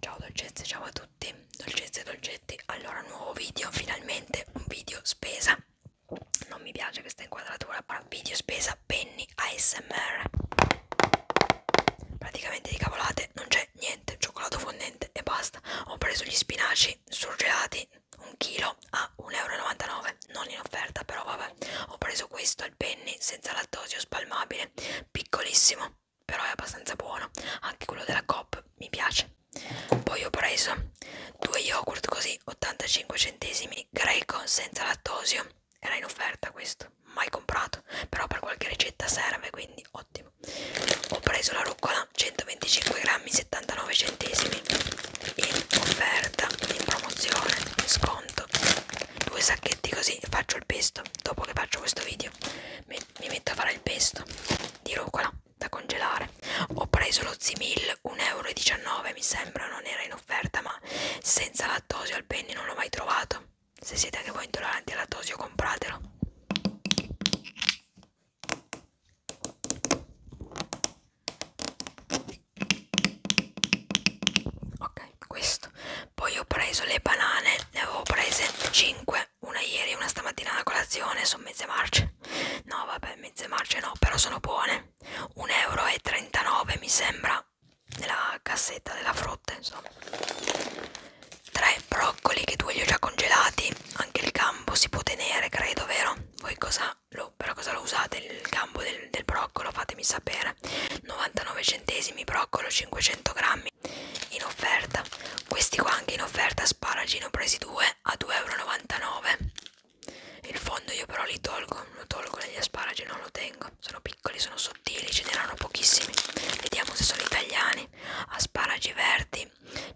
Ciao dolcezze, ciao a tutti, dolcezze e dolcetti, allora nuovo video, finalmente un video spesa, non mi piace questa inquadratura, però video spesa penny ASMR, praticamente di cavolate non c'è niente, cioccolato fondente e basta, ho preso gli spinaci e surgelati un chilo a 1,99 euro non in offerta però vabbè ho preso questo al penny senza lattosio spalmabile piccolissimo però è abbastanza buono anche quello della Coop mi piace poi ho preso due yogurt così 85 centesimi greco senza lattosio era in offerta questo mai comprato però per qualche ricetta serve quindi ottimo ho preso la rucola 125 grammi 79 centesimi in offerta in promozione sconto due sacchetti così faccio il pesto dopo che faccio questo video mi, mi metto a fare il pesto di rucola da congelare ho preso lo Zimil 1,19 euro mi sembra non era in offerta ma senza lattosio al penne non l'ho mai trovato se siete anche voi intolleranti al lattosio compratelo ok questo poi ho preso le banane ne avevo prese 5 una ieri una stamattina a colazione sono mezze marce no vabbè mezze marce no però sono buone 1,39 euro mi sembra nella cassetta della frutta insomma tre broccoli che due li ho già congelati anche il gambo si può tenere credo vero voi cosa lo, per cosa lo usate il gambo del, del broccolo fatemi sapere 99 centesimi broccolo 500 grammi in offerta questi qua anche in offerta asparagi ne ho presi due a 2,99 euro il fondo io però li tolgo lo tolgo dagli asparagi non lo tengo sono piccoli sono sottili ce n'erano pochissimi vediamo se sono italiani asparagi verdi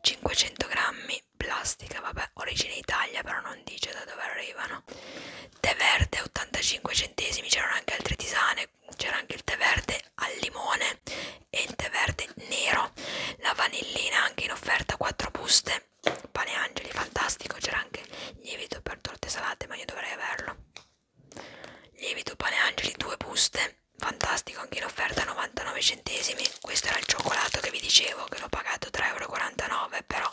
500 grammi plastica, vabbè, origine Italia, però non dice da dove arrivano. Tè verde 85 centesimi, c'erano anche altre tisane, c'era anche il tè verde al limone e il tè verde nero. La vanillina anche in offerta, 4 buste. Pane angeli, fantastico, c'era anche lievito per torte salate, ma io dovrei averlo. Lievito pane angeli, 2 buste fantastico anche in offerta 99 centesimi questo era il cioccolato che vi dicevo che l'ho pagato 3,49 euro però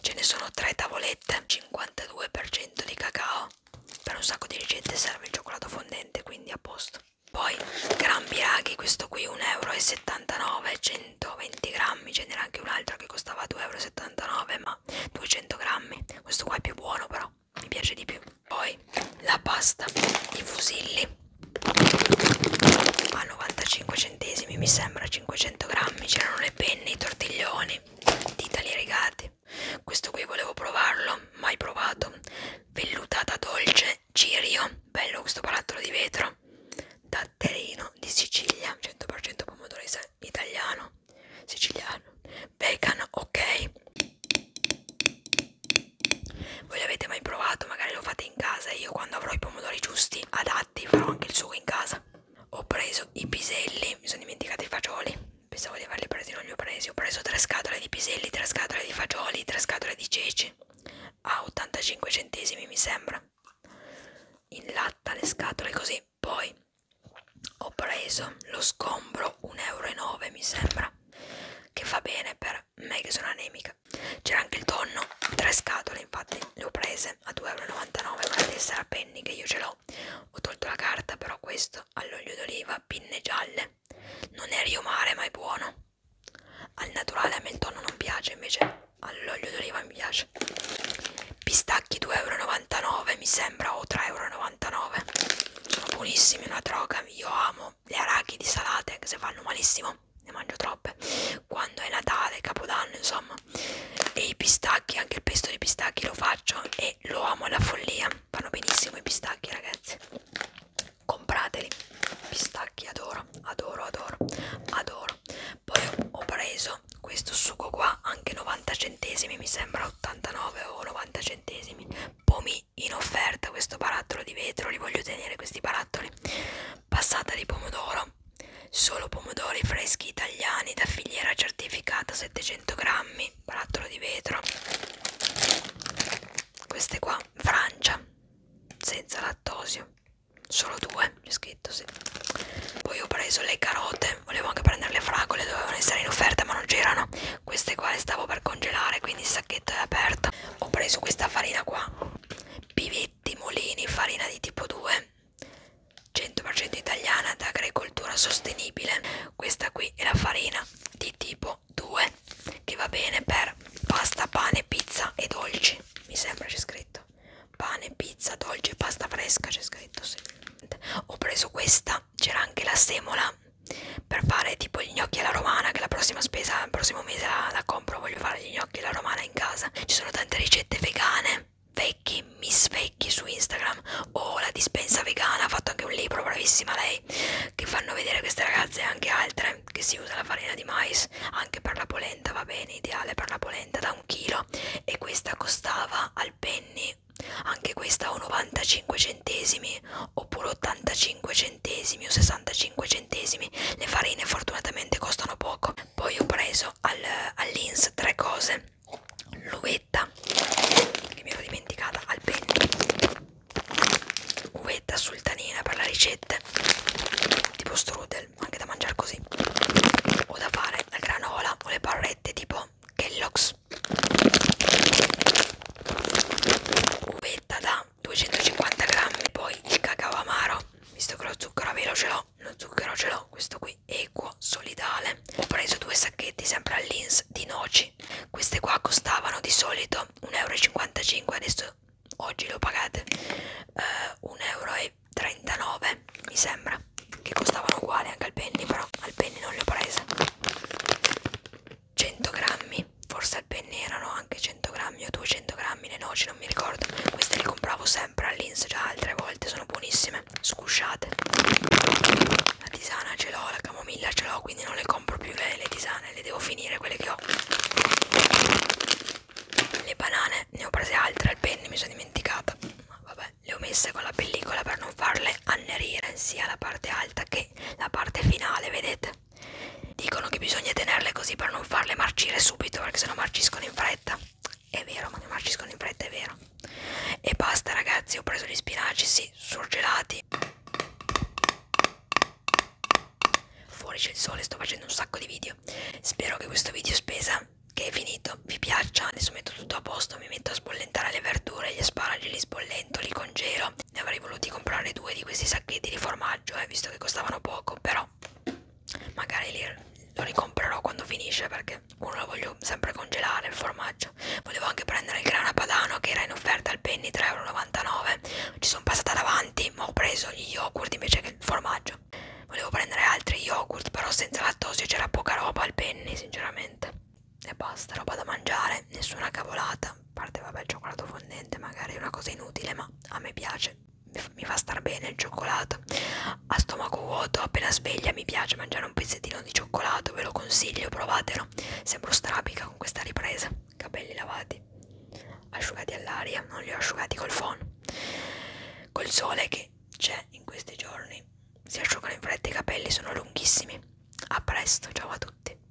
ce ne sono tre tavolette 52% di cacao per un sacco di ricette serve il cioccolato fondente quindi a posto poi gran piraghi questo qui 1,79 euro 120 grammi ce n'era anche un altro che costava 2,79 euro ma 200 grammi questo qua è più buono però mi piace di più poi la pasta di fusilli a 95 centesimi mi sembra 500 grammi c'erano le penne i tortiglioni titali rigati questo qui volevo provarlo mai provato vellutata dolce cirio bello questo palattolo di vetro datterino di sicilia 100% pomodoro italiano siciliano bacon ok voi l'avete mai provato magari lo fate in casa io quando avrò i pomodori giusti adatti farò anche il sugo in casa ho preso i piselli mi sono dimenticata i fagioli pensavo di averli presi non li ho presi ho preso tre scatole di piselli tre scatole di fagioli tre scatole di ceci a 85 centesimi mi sembra in latta le scatole così poi ho preso lo scombro 1,09 euro mi sembra che fa bene per me che sono anemica c'era anche il tonno tre scatole infatti le ho prese a 2,99€ con la tessera penny che io ce l'ho ho tolto la carta però questo all'olio d'oliva pinne gialle non è riomare ma è buono al naturale a me il tonno non piace invece all'olio d'oliva mi piace pistacchi 2,99€ mi sembra o 3,99€ sono buonissimi una droga io amo buono le arachidi salate che se fanno malissimo ne mangio troppe quando è Natale, Capodanno insomma e i pistacchi, anche il pesto di pistacchi lo faccio e lo amo alla follia fanno benissimo i pistacchi ragazzi comprateli pistacchi adoro, adoro, adoro adoro poi ho preso questo sugo qua anche 90 centesimi mi sembra 89 o 90 centesimi pomi in offerta questo barattolo di vetro, li voglio tenere questi barattoli. Passata di pomodoro, solo pomodori freschi italiani da filiera certificata 700 grammi, barattolo di vetro. Queste qua, Francia, senza lattosio, solo due, c'è scritto sì. Poi ho preso le carote, volevo anche prendere le fragole, dovevano essere in offerta ma non c'erano. Queste qua le stavo per congelare, quindi sacchetti pacchetto è aperto ho preso questa farina qua pivetti molini farina di tipo 2 100% italiana da agricoltura sostenibile questa qui è la farina di tipo 2 che va bene per pasta pane pizza e dolci mi sembra c'è scritto pane pizza dolce pasta fresca c'è scritto sì ho preso questa c'era anche la semola per fare tipo gli gnocchi alla romana che la prossima spesa il prossimo mese la, la compro voglio fare gli gnocchi alla romana in casa ci sono tante ricette vegane vecchi miss vecchi su instagram o oh, la dispensa vegana ha fatto anche un libro bravissima lei che fanno vedere queste ragazze e anche altre che si usa la farina di mais anche per la polenta va bene ideale per la polenta da un chilo e questa costava al penny anche questa o 95 centesimi oppure 85 centesimi centesimi o 65 centesimi le farine fortunatamente costano poco poi ho preso al, all'ins tre cose l'uvetta che mi ero dimenticata al petto uvetta sultanina per la ricetta tipo strudel anche da mangiare così o da fare la granola o le barrette tipo Kellogg's uvetta da 250 grammi poi il cacao amaro visto che lo zucchero a velo ce l'ho lo zucchero ce l'ho questo qui equo solidale ho preso due sacchetti sempre all'ins di noci queste qua costavano di solito 1,55 euro adesso oggi le ho pagate uh, eh, 1,39 euro mi sembra che costavano uguali anche al penny però al penny non le ho prese 100 grammi forse al penne erano anche 100 grammi o 200 grammi le noci non mi ricordo queste le compravo sempre all'ins già altre volte sono buonissime scusciate la tisana ce l'ho la camomilla ce l'ho quindi non le compro più le, le tisane le devo finire quelle che ho le banane ne ho prese altre al penne mi sono dimenticata ma vabbè le ho messe con la pellicola per non farle annerire sia la parte alta che la parte finale vedete Dicono che bisogna tenerle così per non farle marcire subito perché sennò marciscono in fretta. È vero, ma che marciscono in fretta è vero. E basta ragazzi, ho preso gli spinaci, sì, surgelati. Fuori c'è il sole, sto facendo un sacco di video. Spero che questo video spesa che è finito vi piaccia. Adesso metto tutto a posto, mi metto a sbollentare le verdure, gli asparagi li sbollento, li congelo ne avrei voluti comprare due di questi sacchetti di formaggio eh, visto che costavano poco però magari li, lo ricomprerò quando finisce perché uno lo voglio sempre congelare il formaggio volevo anche prendere il grana padano che era in offerta al penny 3,99€ ci sono passata davanti ma ho preso gli yogurt invece che il formaggio volevo prendere altri yogurt però senza lattosio c'era poca roba al penny sinceramente e basta roba da mangiare nessuna cavolata parte vabbè cioccolato fondente magari è una cosa inutile ma a me piace mi fa star bene il cioccolato a stomaco vuoto appena sveglia mi piace mangiare un pezzettino di cioccolato ve lo consiglio provatelo sembro strapica con questa ripresa capelli lavati asciugati all'aria non li ho asciugati col phon col sole che c'è in questi giorni si asciugano in fretta i capelli sono lunghissimi a presto ciao a tutti